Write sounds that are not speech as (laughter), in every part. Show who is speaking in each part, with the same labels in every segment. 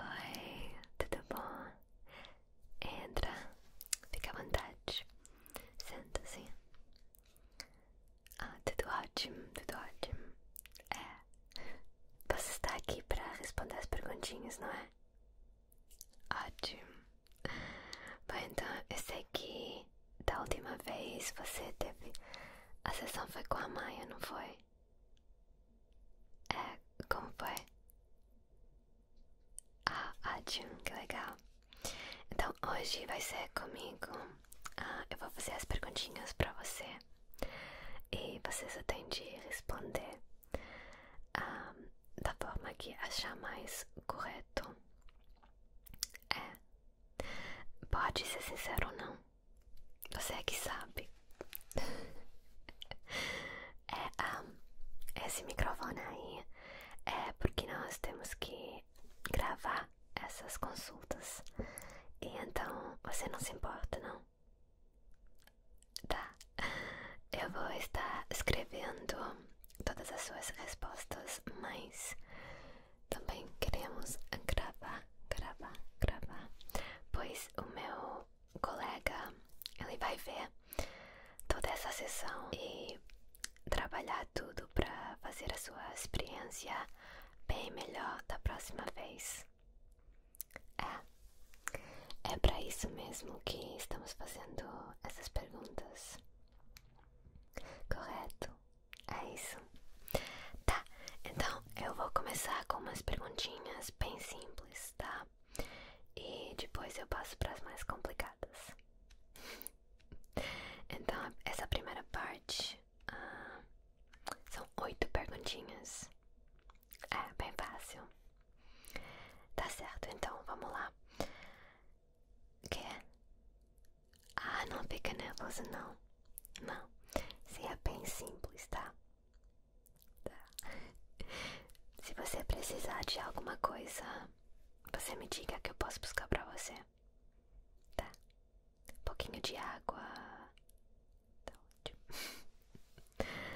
Speaker 1: Oi, tudo bom? Entra, fica à vontade, senta-se. Ah, tudo ótimo, tudo ótimo. É, você está aqui para responder as perguntinhas, não é? Ótimo. Bom, então esse aqui da última vez você teve. A sessão foi com a Maia, não foi? É, como foi? Ah, ótimo, que legal. Então hoje vai ser comigo. Ah, eu vou fazer as perguntinhas para você e vocês só têm de responder. Ah, da forma que achar mais correto. É, pode ser sincero ou não, você é que sabe. (laughs) é, ah, esse microfone aí é porque nós temos que gravar essas consultas. E então você não se importa, não? Tá, eu vou estar escrevendo todas as suas respostas, mas também queremos gravar, gravar, gravar, pois o meu colega ele vai ver toda essa sessão e trabalhar tudo para fazer a sua experiência bem melhor da próxima vez. É. É para isso mesmo que estamos fazendo essas perguntas. Correto? É isso. Tá, então eu vou começar com umas perguntinhas bem simples, tá? E depois eu passo para as mais complicadas. (laughs) Então, essa primeira parte ah, são oito perguntinhas. É bem fácil. Tá certo, então vamos lá. o Quer? É? Ah, não fica nervoso não. Não. seria é bem simples, tá? Tá. Se você precisar de alguma coisa, você me diga que eu posso buscar pra você. Tá. Um pouquinho de água. Tá ótimo. (laughs)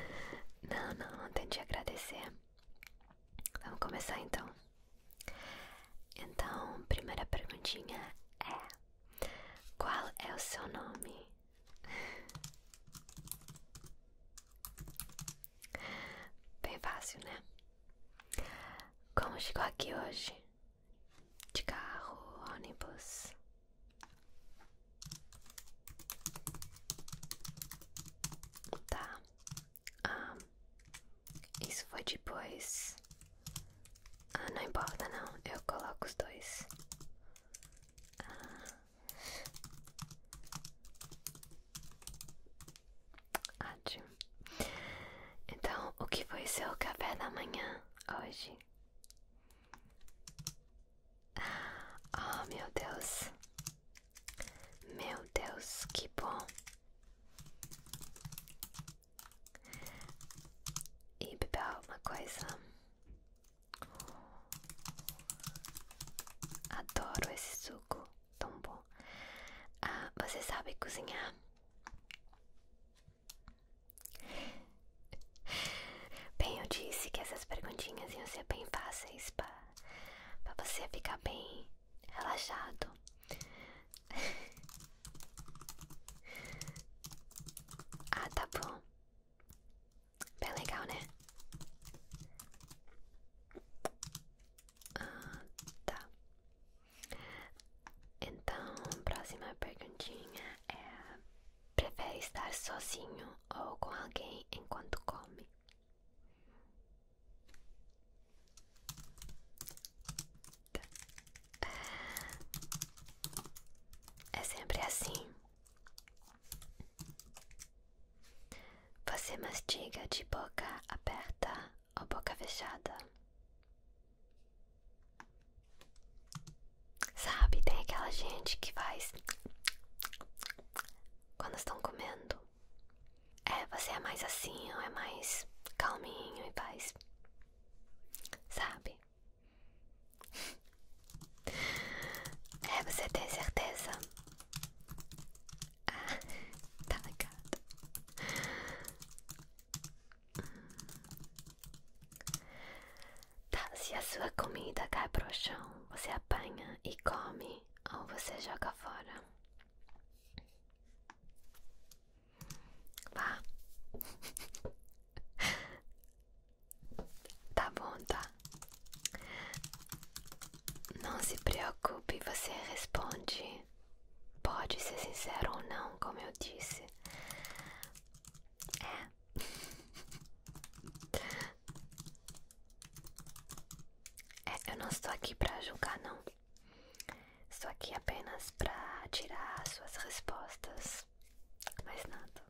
Speaker 1: Não, não, não tem de agradecer. Vamos começar então. Então, primeira perguntinha é: Qual é o seu nome? Bem fácil, né? Como chegou aqui hoje? De carro, ônibus? Tá. Ah, isso foi depois. Ah, não importa não, eu coloco os dois. Ah. Ótimo. Então, o que foi seu café da manhã hoje? Ah, oh, meu Deus. Meu Deus, que bom! E beber uma coisa. Adoro esse suco, tão bom. Ah, você sabe cozinhar? Bem, eu disse que essas perguntinhas iam ser bem fáceis para você ficar bem relaxado. (laughs) ah, tá bom. Bem legal, né? Ah, tá. Então, próxima perguntinha é: prefere estar sozinho ou com alguém enquanto come? É sempre assim. Você mastiga de boca aberta ou boca fechada? Sabe, tem aquela gente que faz quando estão comendo. É, você é mais assim, ou é mais calminho e paz. Sabe? É, você tem certeza? Ah, (laughs) tá ligado. Tá, se a sua comida cai pro chão, você apanha e come, ou você joga fora. Vá. Tá bom, tá? Não se preocupe, você responde. Pode ser sincero ou não, como eu disse. É. É, eu não estou aqui para julgar, não. Estou aqui apenas para tirar suas respostas. Mais nada.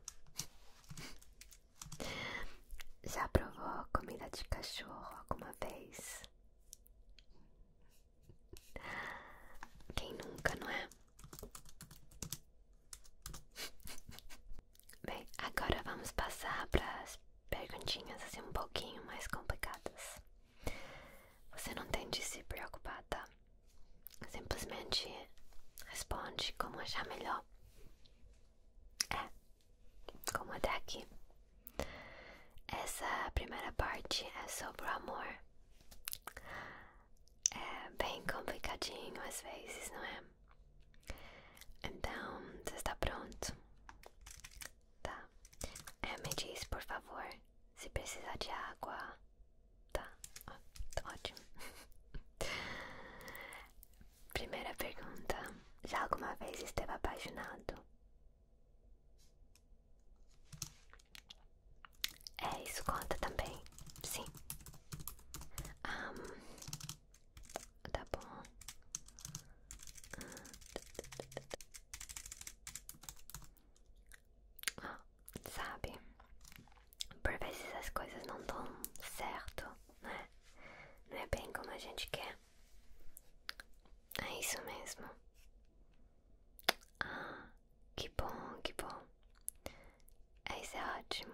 Speaker 1: Já provou comida de cachorro alguma vez? Quem nunca, não é? Bem, agora vamos passar para as perguntinhas assim um pouquinho mais complicadas. Você não tem de se preocupar, tá? Simplesmente responde como achar melhor. É, como até aqui. Essa primeira parte é sobre o amor. É bem complicadinho às vezes, não é? Então, você está pronto? Tá. É, me diz, por favor, se precisar de água. Tá. tá ótimo. (laughs) Primeira pergunta. Já alguma vez esteve apaixonado? É, isso conta também. Sim. Um, tá bom sabe, por vezes as coisas não dão certo, né? Não é bem como a gente quer. É isso mesmo. Ah, que bom, que bom. É, isso é ótimo.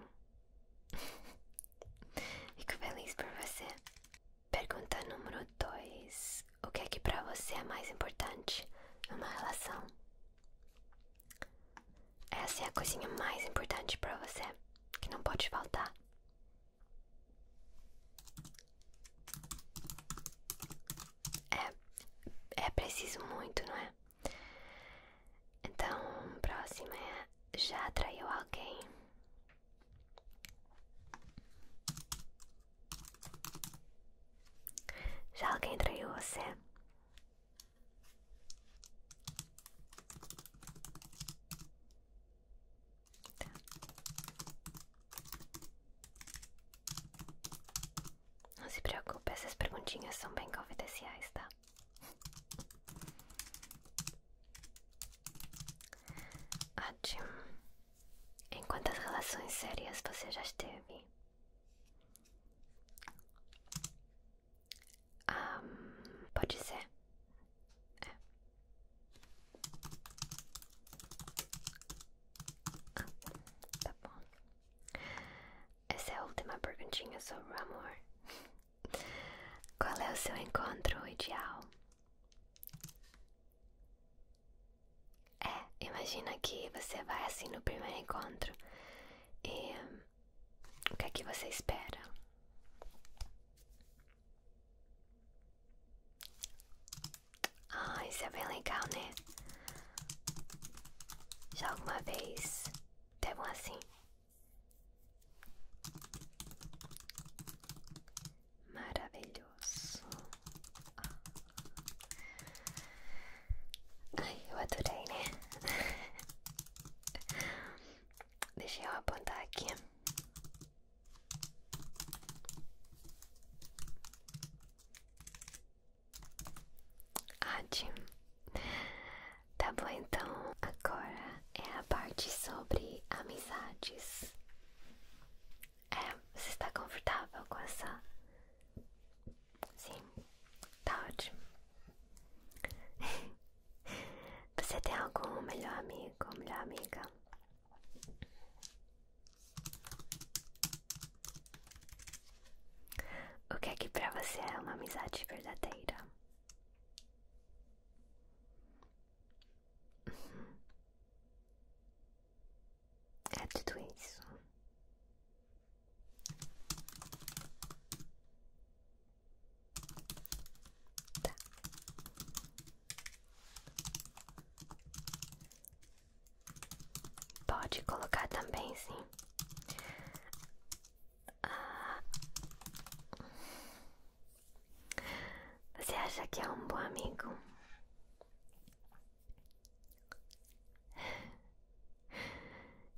Speaker 1: (laughs) Fico feliz por você. Pergunta número 2. O que é que para você é mais importante numa relação? É assim a coisinha mais importante para você, que não pode faltar. É, é preciso muito, não é? Então, próxima é: já atraiu alguém já alguém traiu você? Não se preocupe, essas perguntinhas são bem confidenciais, tá? Ótimo. Em quantas relações sérias você já esteve? pode ser. É. Ah, tá bom. Essa é a última perguntinha sobre o amor. Qual é o seu encontro ideal? É, imagina que você vai assim no primeiro encontro e o que é que você espera? Ah, isso é bem legal, né? Já alguma vez teve um assim? maravilhoso. Ah. Ai, eu adorei, né? (laughs) Deixa eu apontar aqui. Ótimo. Tá bom, então agora é a parte sobre amizades. É, você está confortável com essa? Sim, está ótimo. (laughs) Você tem algum melhor amigo ou melhor amiga? O que é que pra você é uma amizade verdadeira? Uhum. É tudo isso. Tá. Pode colocar também, sim. Ah. Você acha que é um bom amigo?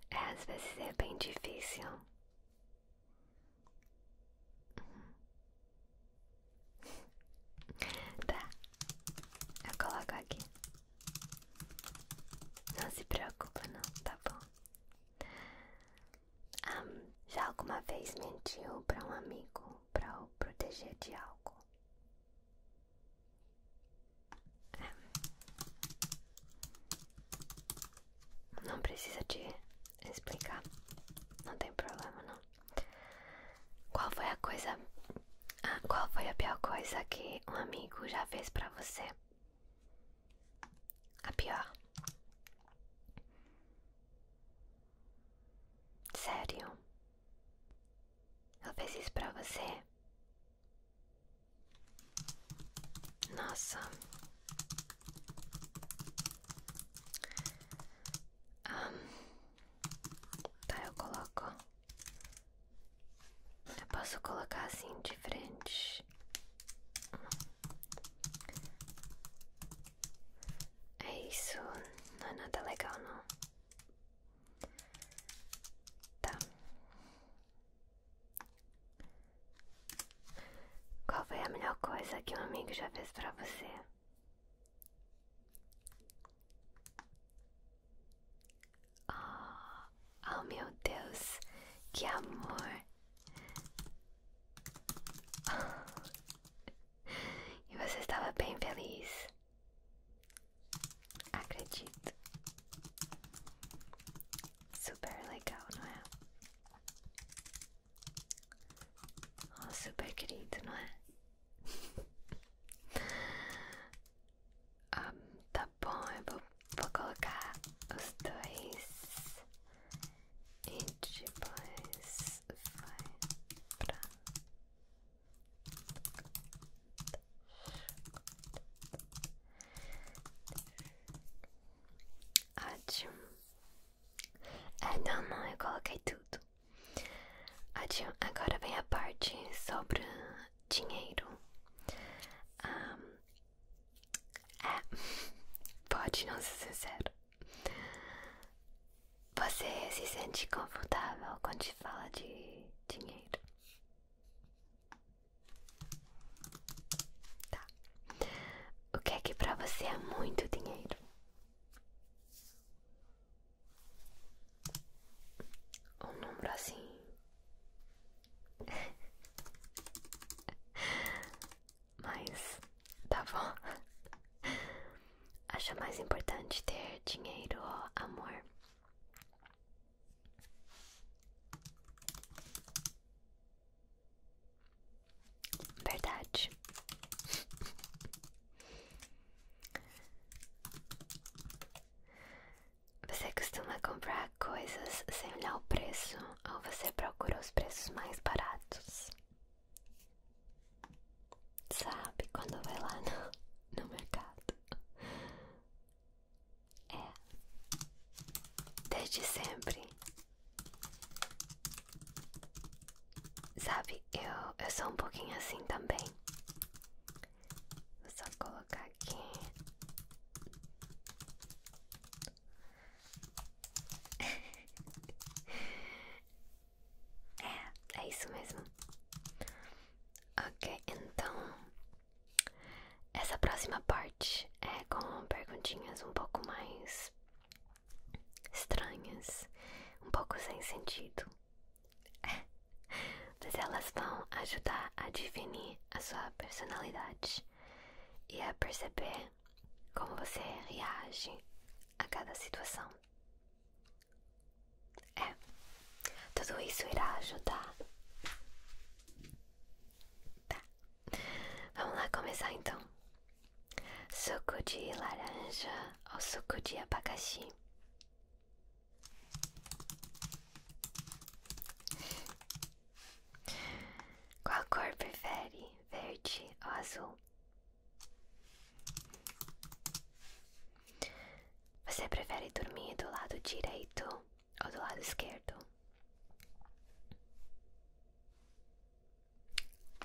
Speaker 1: É, às vezes é bem difícil. Tá, eu coloco aqui. Não se preocupa, não, tá bom. Ah, já alguma vez mentiu para um amigo? para o proteger de algo. É. Não precisa te explicar, não tem problema não. Qual foi a coisa, ah, qual foi a pior coisa que um amigo já fez para você? A pior. Sério? Eu fiz isso pra você? Nossa. Ah, tá, eu coloco. Eu posso colocar assim de frente. É isso, não é nada legal não. Tá. Qual foi a melhor coisa que um amigo já fez pra você? Oh, oh meu Deus, que amor! E você estava bem feliz. Acredito. Super legal, não é? super querido, não é? Ah, tá bom, eu vou, vou colocar os dois e depois vai pra Ótimo. É, não, não, eu coloquei tudo. Ótimo. Agora vem a parte sobre dinheiro. Um, ah, é, (laughs) pode não ser sincero. Você se sente confortável quando se fala de dinheiro? Tá. O que é que pra você é muito dinheiro? Um número assim. (laughs) Mas tá bom. Acha mais importante ter dinheiro ou amor? Verdade. Você costuma comprar coisas sem olhar o preço ou você procura os preços mais baratos? Sabe quando vai lá no, mercado? É desde sempre. Sabe, eu, eu sou um pouquinho assim também. Vou só colocar aqui. (laughs) É, é isso mesmo. Ok, então essa próxima parte é com perguntinhas um pouco mais estranhas, um pouco sem sentido. (laughs) Mas elas vão ajudar a definir a sua personalidade e a perceber como você reage a cada situação. É, tudo isso irá ajudar. Tá, vamos lá começar então. Suco de laranja ou suco de abacaxi? Qual cor prefere? Verde ou azul? Você prefere dormir do lado direito ou do lado esquerdo?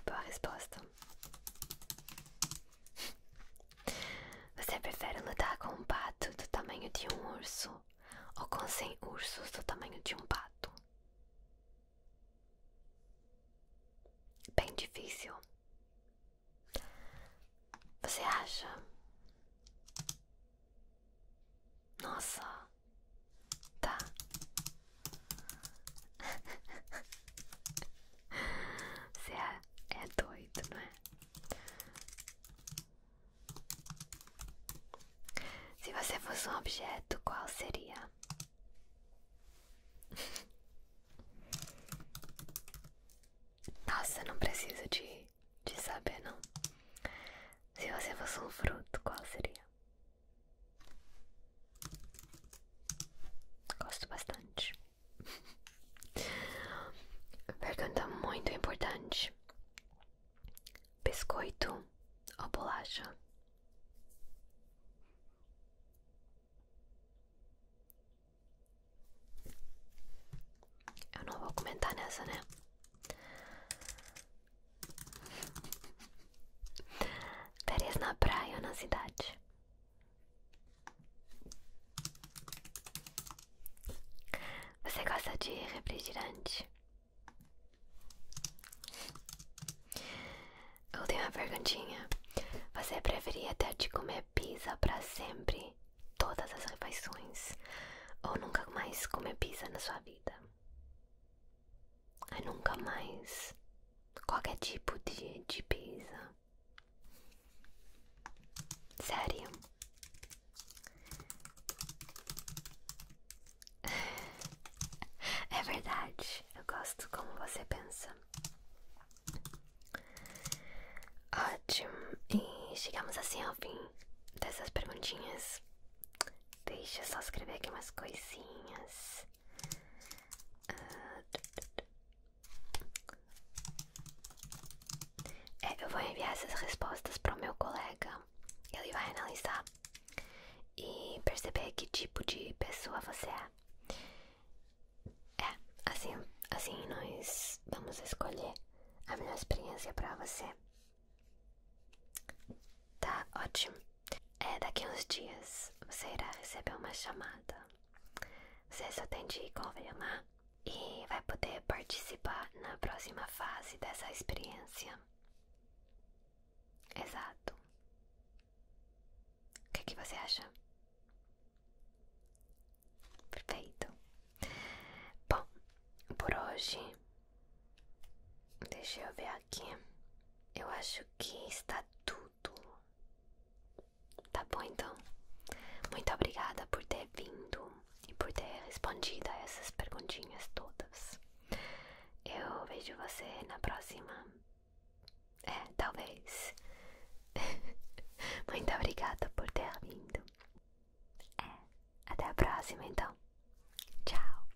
Speaker 1: Boa resposta. Você prefere lutar com um pato do tamanho de um urso ou com 100 ursos do tamanho de um pato? Bem difícil. Você acha? Nossa, tá. (laughs) Você é, é doido, não é? Se você fosse um objeto, qual seria? Nossa, não preciso de, de saber, não. Se você fosse um fruto, qual seria? Gosto bastante. (laughs) Pergunta muito importante: biscoito ou bolacha? Eu não vou comentar nessa, né? Férias na praia ou na cidade? Você gosta de refrigerante? Eu tenho uma perguntinha. Você preferia ter de comer pisa para sempre, todas as refeições, ou nunca mais comer pizza na sua vida. ou nunca mais qualquer tipo de, de pizza. Sério. (laughs) É verdade, eu gosto como você pensa. Ótimo. E chegamos assim ao fim dessas perguntinhas. Deixa eu só escrever aqui umas coisinhas. Ah, é, eu vou enviar essas respostas para o meu colega. Ele vai analisar e perceber que tipo de pessoa você é. É, assim, assim nós vamos escolher a melhor experiência para você. Tá ótimo. É, daqui uns dias você irá receber uma chamada. Você só tem de confirmar e vai poder participar na próxima fase dessa experiência. Exato. O é que você acha? Perfeito. Bom, por hoje, deixa eu ver aqui. Eu acho que está tudo. Tá bom então. Muito obrigada por ter vindo e por ter respondido a essas perguntinhas todas. Eu vejo você na próxima. É, talvez. (laughs) Muito obrigada por ter vindo. É, até a próxima então. Tchau.